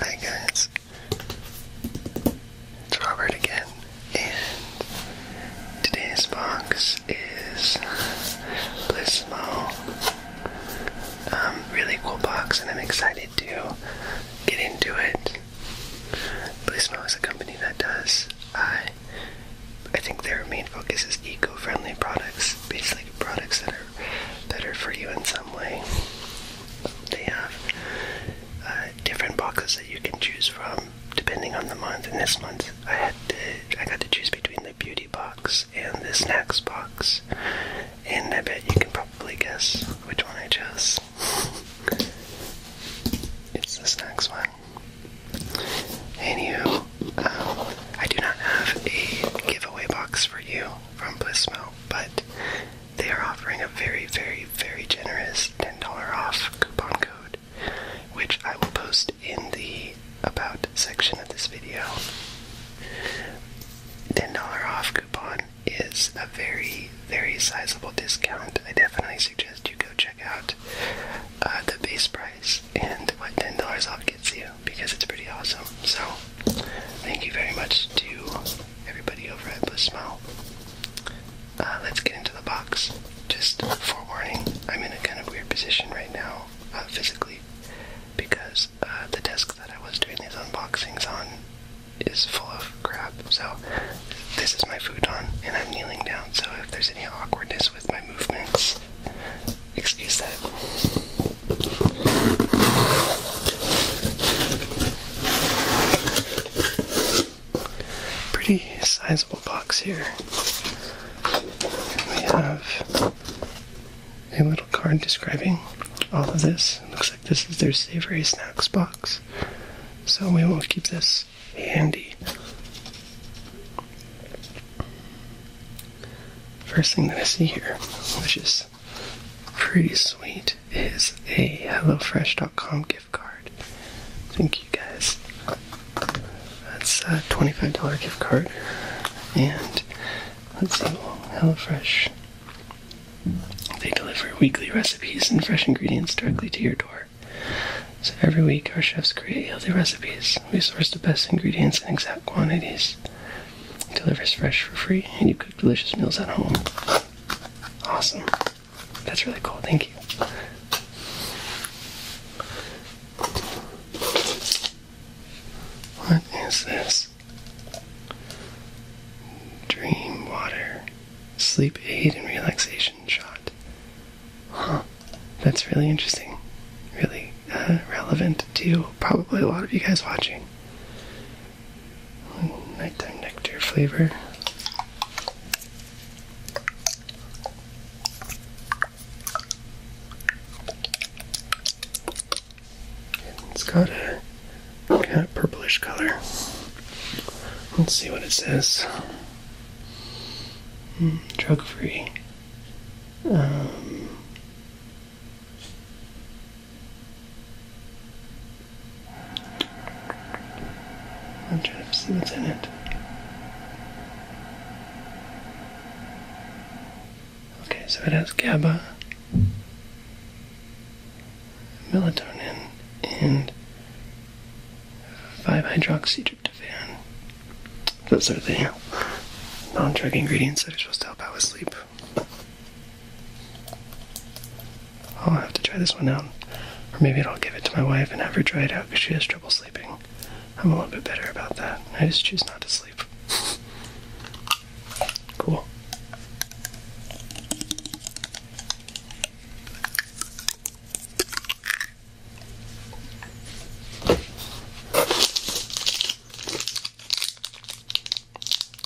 Hi guys, it's Robert again, and today's box is Blissmo. Um, really cool box, and I'm excited to get into it. Blissmo is a company that does, uh, I think their main focus is eco-friendly products, basically products that are better for you in some way. They have uh, different boxes that you can choose from depending on the month. And this month, I had to, I got to choose between the beauty box and the snacks box, and I bet you can probably guess which one I chose. it's the snacks one. Anywho, um, I do not have a giveaway box for you from Blissmo, but they are offering a very, very, very generous $10 off coupon code, which I will post in the About section of this video. $10 off coupon is a very, very sizable discount. I definitely suggest you go check out uh, the base price and what $10 off gets you because it's pretty awesome. So, thank you very much to everybody over at Bliss uh, let's get into the box. Just forewarning, I'm in a kind of weird position right now, uh, physically, because uh, the desk that I was doing these unboxings on is full of crap. So, this is my futon, and I'm kneeling down. So, if there's any awkwardness with my movements, excuse that. Pretty sizable box here. We have a little card describing all of this. Looks like this is their savory snacks box. So we will keep this handy. First thing that I see here, which is pretty sweet is a HelloFresh.com gift card. Thank you guys. That's a $25 gift card. And let HelloFresh. They deliver weekly recipes and fresh ingredients directly to your door. So every week, our chefs create healthy recipes. We source the best ingredients in exact quantities delivers fresh for free, and you cook delicious meals at home. Awesome. That's really cool. Thank you. What is this? Dream water. Sleep aid and relaxation shot. Huh. That's really interesting. Really uh, relevant to probably a lot of you guys watching. Nighttime nectar flavor. it's got a kind of purplish color. Let's see what it says. Hmm, drug free. Um, I'm trying to see what's in it. Okay, so it has GABA, melatonin, and 5 hydroxytryptophan those are the non drug ingredients that are supposed to help out with sleep. I'll have to try this one out. Or maybe I'll give it to my wife and have her try it out because she has trouble sleeping. I'm a little bit better about that. I just choose not to sleep. cool.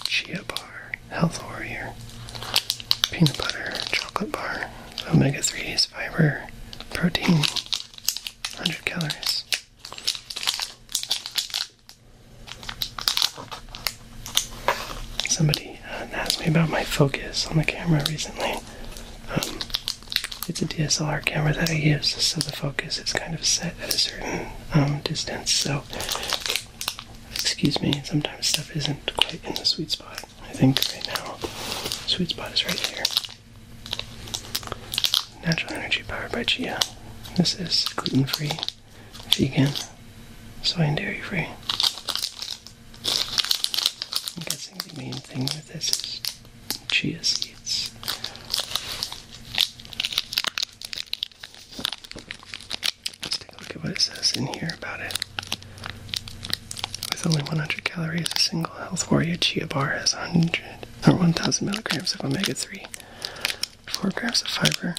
Chia bar, health warrior, peanut butter, chocolate bar, omega 3s, fiber, protein, 100 calories. Somebody uh, asked me about my focus on the camera recently. Um, it's a DSLR camera that I use, so the focus is kind of set at a certain um, distance. So, excuse me, sometimes stuff isn't quite in the sweet spot. I think right now, the sweet spot is right here. Natural energy powered by chia. This is gluten free, vegan, soy and dairy free. I'm guessing the main thing with this is chia seeds. Let's take a look at what it says in here about it. With only 100 calories, a single Health Warrior chia bar has 100 or 1,000 milligrams of omega-3, 4 grams of fiber,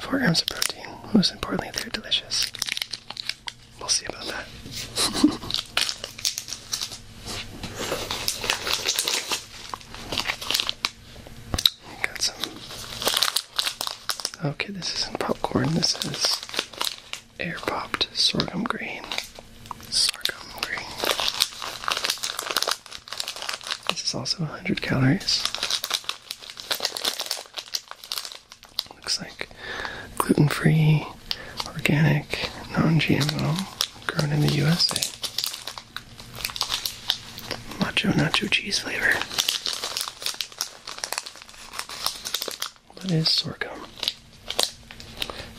4 grams of protein. Most importantly, they're delicious. We'll see about that. Got some. Okay, this isn't popcorn. This is air popped sorghum grain. Sorghum grain. This is also 100 calories. Looks like gluten free, organic, non GMO grown in the USA. Macho nacho cheese flavor. What is sorghum?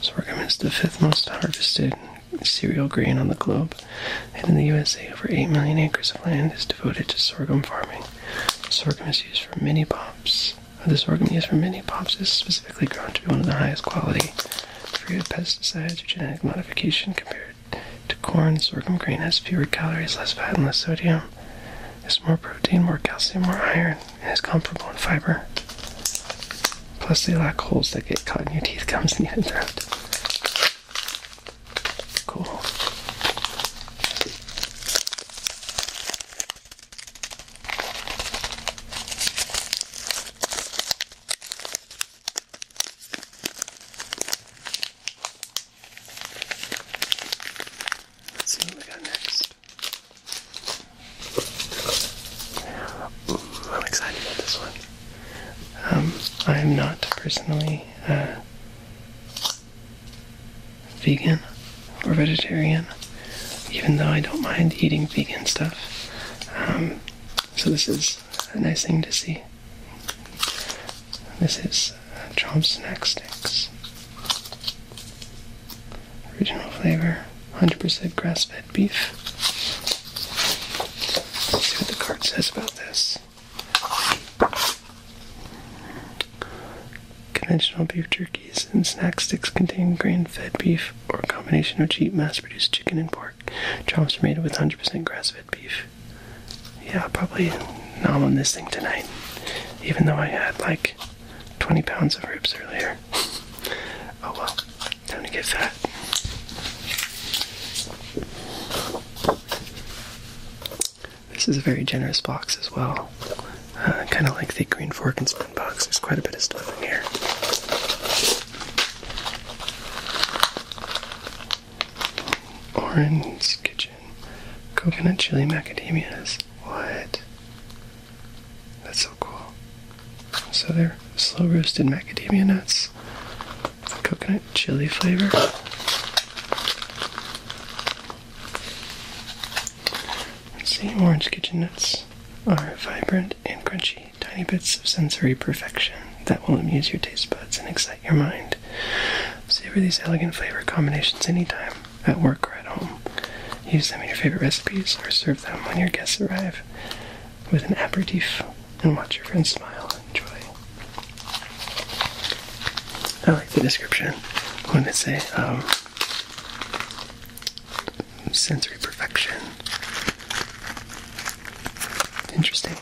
Sorghum is the fifth most harvested cereal grain on the globe, and in the USA, over 8 million acres of land is devoted to sorghum farming. Sorghum is used for mini pops. The sorghum used for mini pops is specifically grown to be one of the highest quality free of pesticides or genetic modification compared to corn, sorghum grain has fewer calories, less fat, and less sodium. It's more protein, more calcium, more iron, and is comparable in fiber. Plus, they lack holes that get caught in your teeth, gums, and even throat. Cool. Let's see what we got next. Mm, I'm excited about this one. Um, I'm not personally uh, vegan or vegetarian, even though I don't mind eating vegan stuff. Um, so this is a nice thing to see. This is Chomp uh, Snack Sticks. Original flavor, 100% grass-fed beef. see what the card says about this. Conventional beef jerkies and snack sticks contain grain-fed beef or a combination of cheap mass-produced chicken and pork. Chops are made with 100% grass-fed beef. Yeah, probably not on this thing tonight, even though I had like 20 pounds of ribs earlier. oh well, time to get fat. This is a very generous box as well. Uh, kind of like the green fork and spoon box. There's quite a bit of stuff in here. Orange Kitchen. Coconut chili macadamias. What? That's so cool. So they're slow roasted macadamia nuts. Coconut chili flavor. see, orange kitchen nuts are vibrant and crunchy, tiny bits of sensory perfection that will amuse your taste buds and excite your mind. Savor these elegant flavor combinations anytime, at work or at home. Use them in your favorite recipes or serve them when your guests arrive with an aperitif and watch your friends smile and enjoy. I like the description when it say um, sensory perfection. Interesting.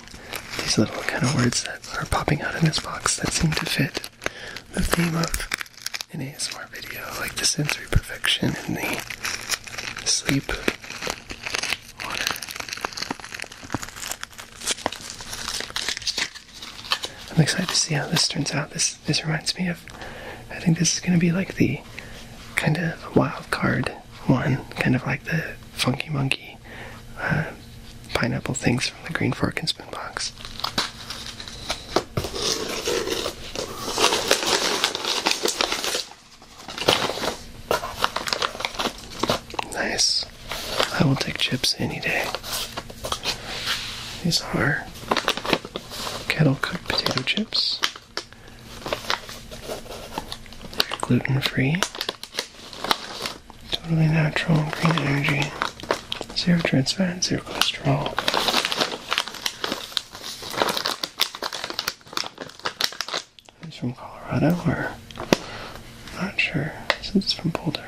These little kind of words that are popping out in this box that seem to fit the theme of an ASMR video, like the sensory perfection and the sleep water. I'm excited to see how this turns out. This this reminds me of. I think this is going to be like the kind of wild card one, kind of like the Funky Monkey uh, pineapple things from the Green Fork and Spoon box. Nice. I will take chips any day. These are kettle cooked potato chips gluten free, totally natural, green energy, zero trans fats, zero cholesterol. It's from Colorado, or not sure since it's from Boulder.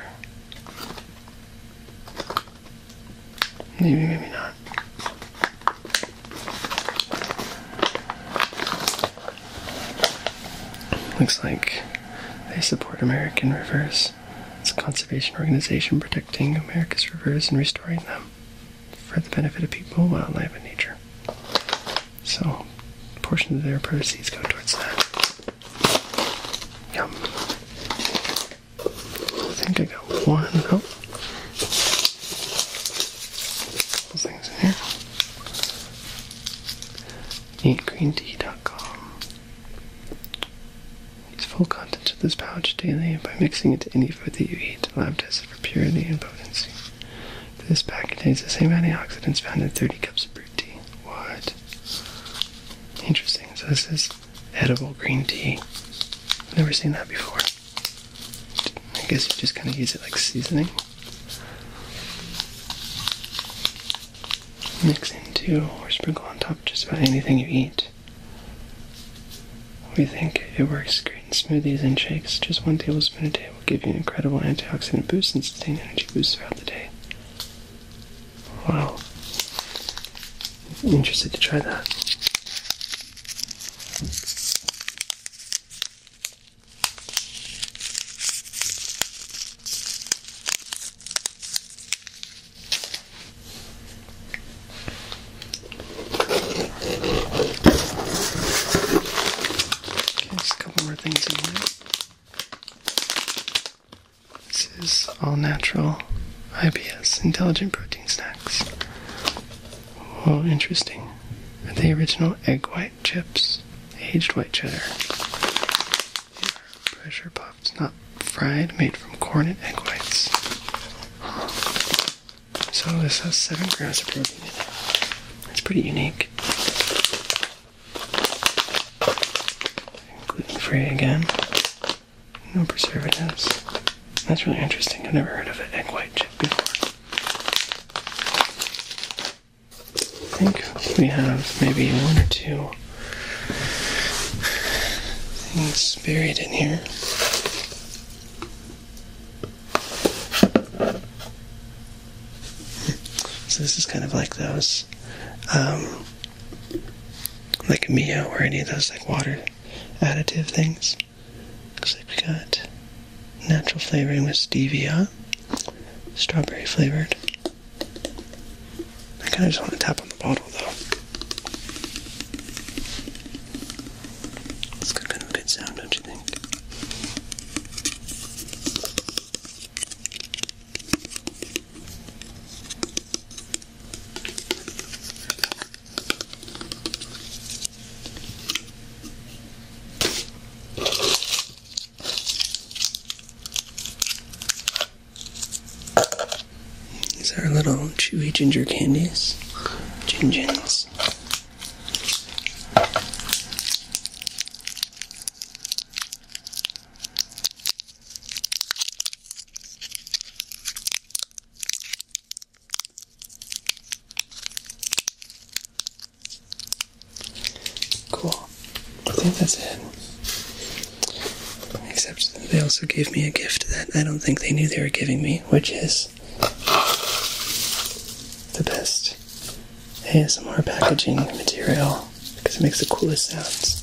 Maybe, maybe not. Looks like they support American rivers. It's a conservation organization protecting America's rivers and restoring them for the benefit of people, wildlife, and nature. So, a portion of their proceeds go towards that. Yum. I think I got one. Oh. Couple things in here. NeatGreenTea.com. It's full contents of this pouch daily by mixing it to any food that you eat. Lab tested for purity and potency. This pack contains the same antioxidants found in 30 cups of brewed tea. What? Interesting. So this is edible green tea. I've never seen that before. I guess you just kind of use it like seasoning. Mix into or sprinkle on top just about anything you eat. We think it works great in smoothies and shakes. Just one tablespoon a day will give you an incredible antioxidant boost and sustained energy boost throughout the day. Wow interested to try that. just a couple more things in here. This is all natural IPS intelligent protein snack. Oh, interesting. Are they original egg white chips? Aged white cheddar. pressure puffed, not fried, made from corn and egg whites. So this has 7 grams of protein in It's pretty unique. Gluten free again. No preservatives. That's really interesting. I've never heard of an egg white chip before. I think we have maybe one or two things buried in here. So this is kind of like those, um, like Mio or any of those like water additive things. Looks like we got natural flavoring with stevia, strawberry flavored. I kind of just want to tap on the bottle though. It's kind of a good sound, don't you think? These are little chewy ginger candies, gingins. Cool. I think that's it. Except they also gave me a gift that I don't think they knew they were giving me, which is the best ASMR packaging material because it makes the coolest sounds.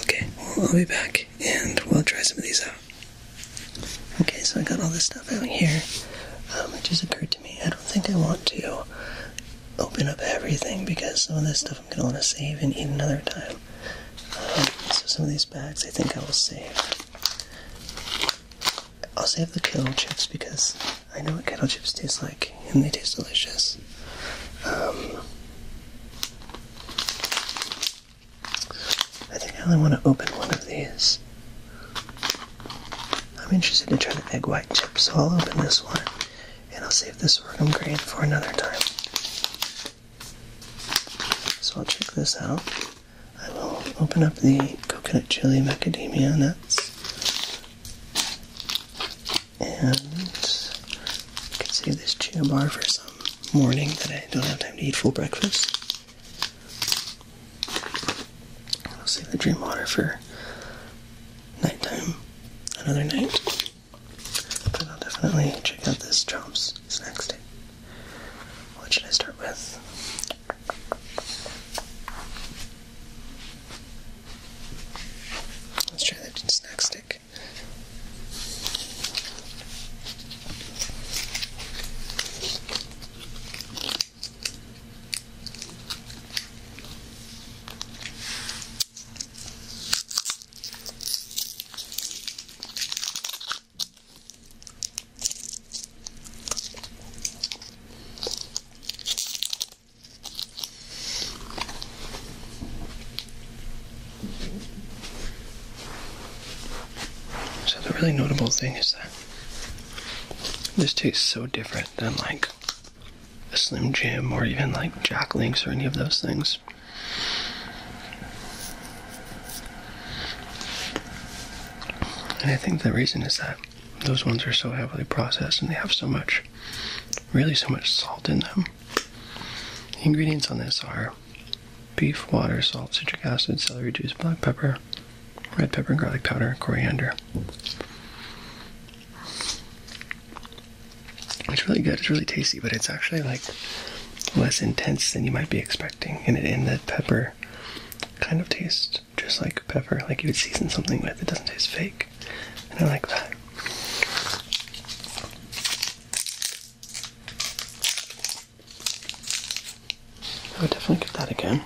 Okay, well, I'll be back and we'll try some of these out. Okay, so I got all this stuff out here. Uh, it just occurred to me I don't think I want to open up everything because some of this stuff I'm going to want to save and eat another time. Um, so some of these bags I think I will save. I'll save the kettle chips because I know what kettle chips taste like and they taste delicious. Um, I think I only want to open one of these. I'm interested to try the egg white chips, so I'll open this one and I'll save this orgum grade for another time. So I'll check this out. I will open up the coconut chili macadamia nuts. And I can save this chew bar for some morning that I don't have time to eat full breakfast. I'll save the dream water for nighttime another night. But I'll definitely check out this Chomps snack stick. What should I start with? Let's try the snack stick. So the really notable thing is that this tastes so different than like a Slim Jim or even like Jack Links or any of those things. And I think the reason is that those ones are so heavily processed and they have so much, really so much salt in them. The ingredients on this are beef, water, salt, citric acid, celery juice, black pepper, red pepper, garlic powder, coriander. It's really good. It's really tasty, but it's actually like less intense than you might be expecting. And it in the pepper kind of tastes just like pepper, like you would season something with. It doesn't taste fake, and I like that. I would definitely get that again.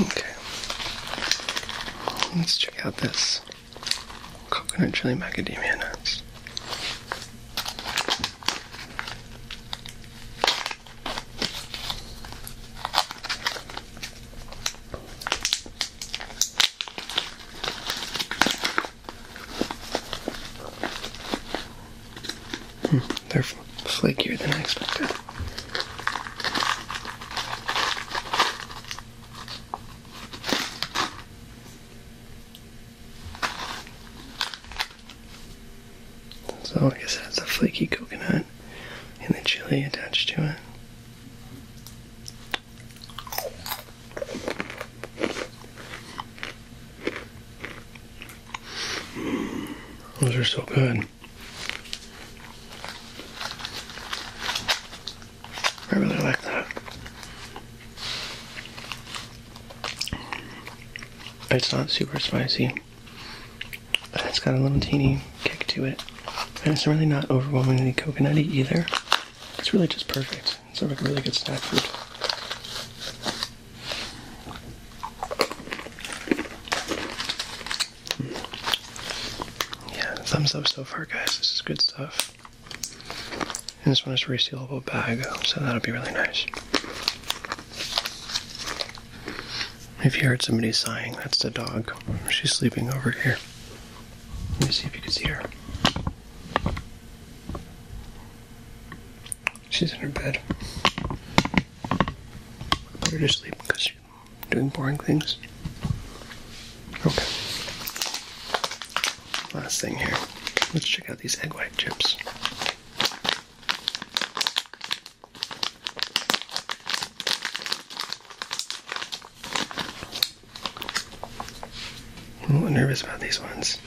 Okay. Let's check out this coconut chili macadamia nuts. Hmm, they're flakier than I expected. So like I said, it's a flaky coconut and the chili attached to it. Those are so good. I really like that. It's not super spicy. It's got a little teeny kick to it. And it's really not overwhelmingly coconutty either. It's really just perfect. It's a really good snack food. Yeah, thumbs up so far, guys. This is good stuff. And this one is a resealable bag, so that'll be really nice. If you heard somebody sighing, that's the dog. She's sleeping over here. Let me see if you can see her. She's in her bed. I put her to sleep because you're doing boring things. Okay. Last thing here. Let's check out these egg white chips. I'm a little nervous about these ones.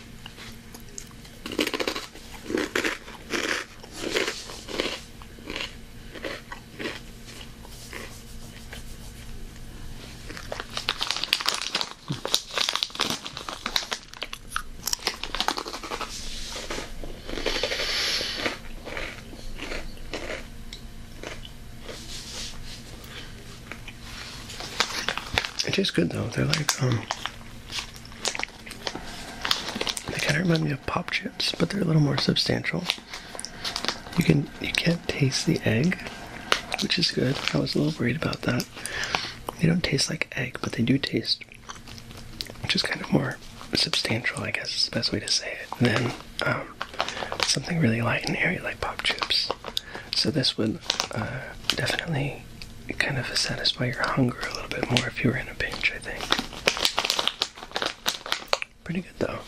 It tastes good though. They're like um they kind of remind me of pop chips, but they're a little more substantial. You can you can't taste the egg, which is good. I was a little worried about that. They don't taste like egg, but they do taste which is kind of more substantial, I guess is the best way to say it, than um, something really light and airy like pop chips. So this would uh, definitely kind of satisfy your hunger a little bit more if you were in a pinch, I think. Pretty good though.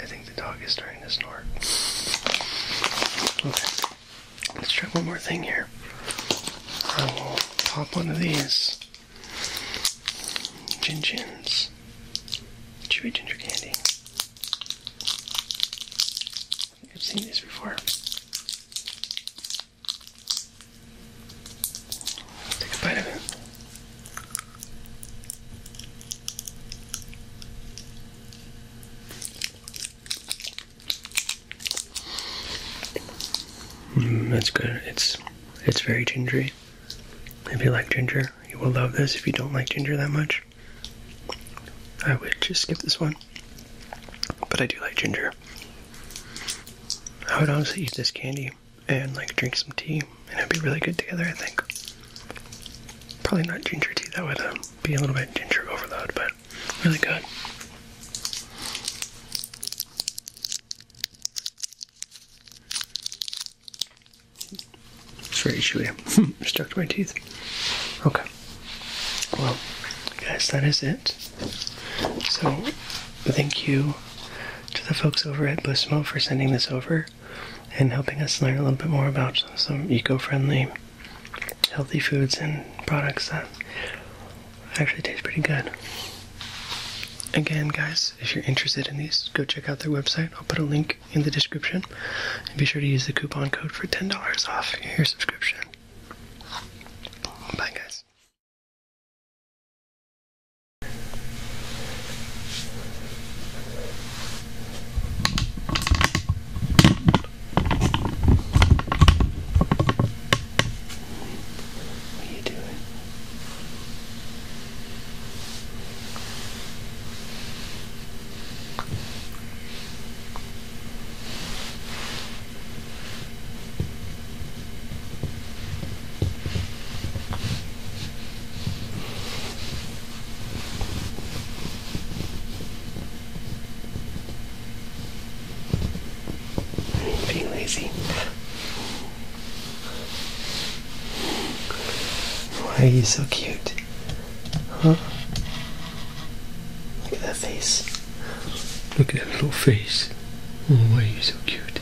I think the dog is starting to snort. Okay. Let's try one more thing here. I will pop one of these Gin Chins. Chewy ginger candy. I think I've seen this before. Take a bite of it. Mm, that's good. It's it's very gingery. If you like ginger, you will love this. If you don't like ginger that much, I would just skip this one. But I do like ginger. I would honestly eat this candy and like drink some tea, and it'd be really good together. I think. Probably not ginger tea. That would be a little bit ginger overload, but really good. It's very chewy. Stuck to my teeth. Okay. Well, guys, that is it. So, thank you to the folks over at Blissmo for sending this over and helping us learn a little bit more about some eco-friendly, healthy foods and products that actually taste pretty good. Again, guys, if you're interested in these, go check out their website. I'll put a link in the description. And be sure to use the coupon code for $10 off your subscription. Bye, guys. What are you doing? Being lazy. Why are you so cute? Huh? Look at that face. Look at that little face. Oh, why are you so cute?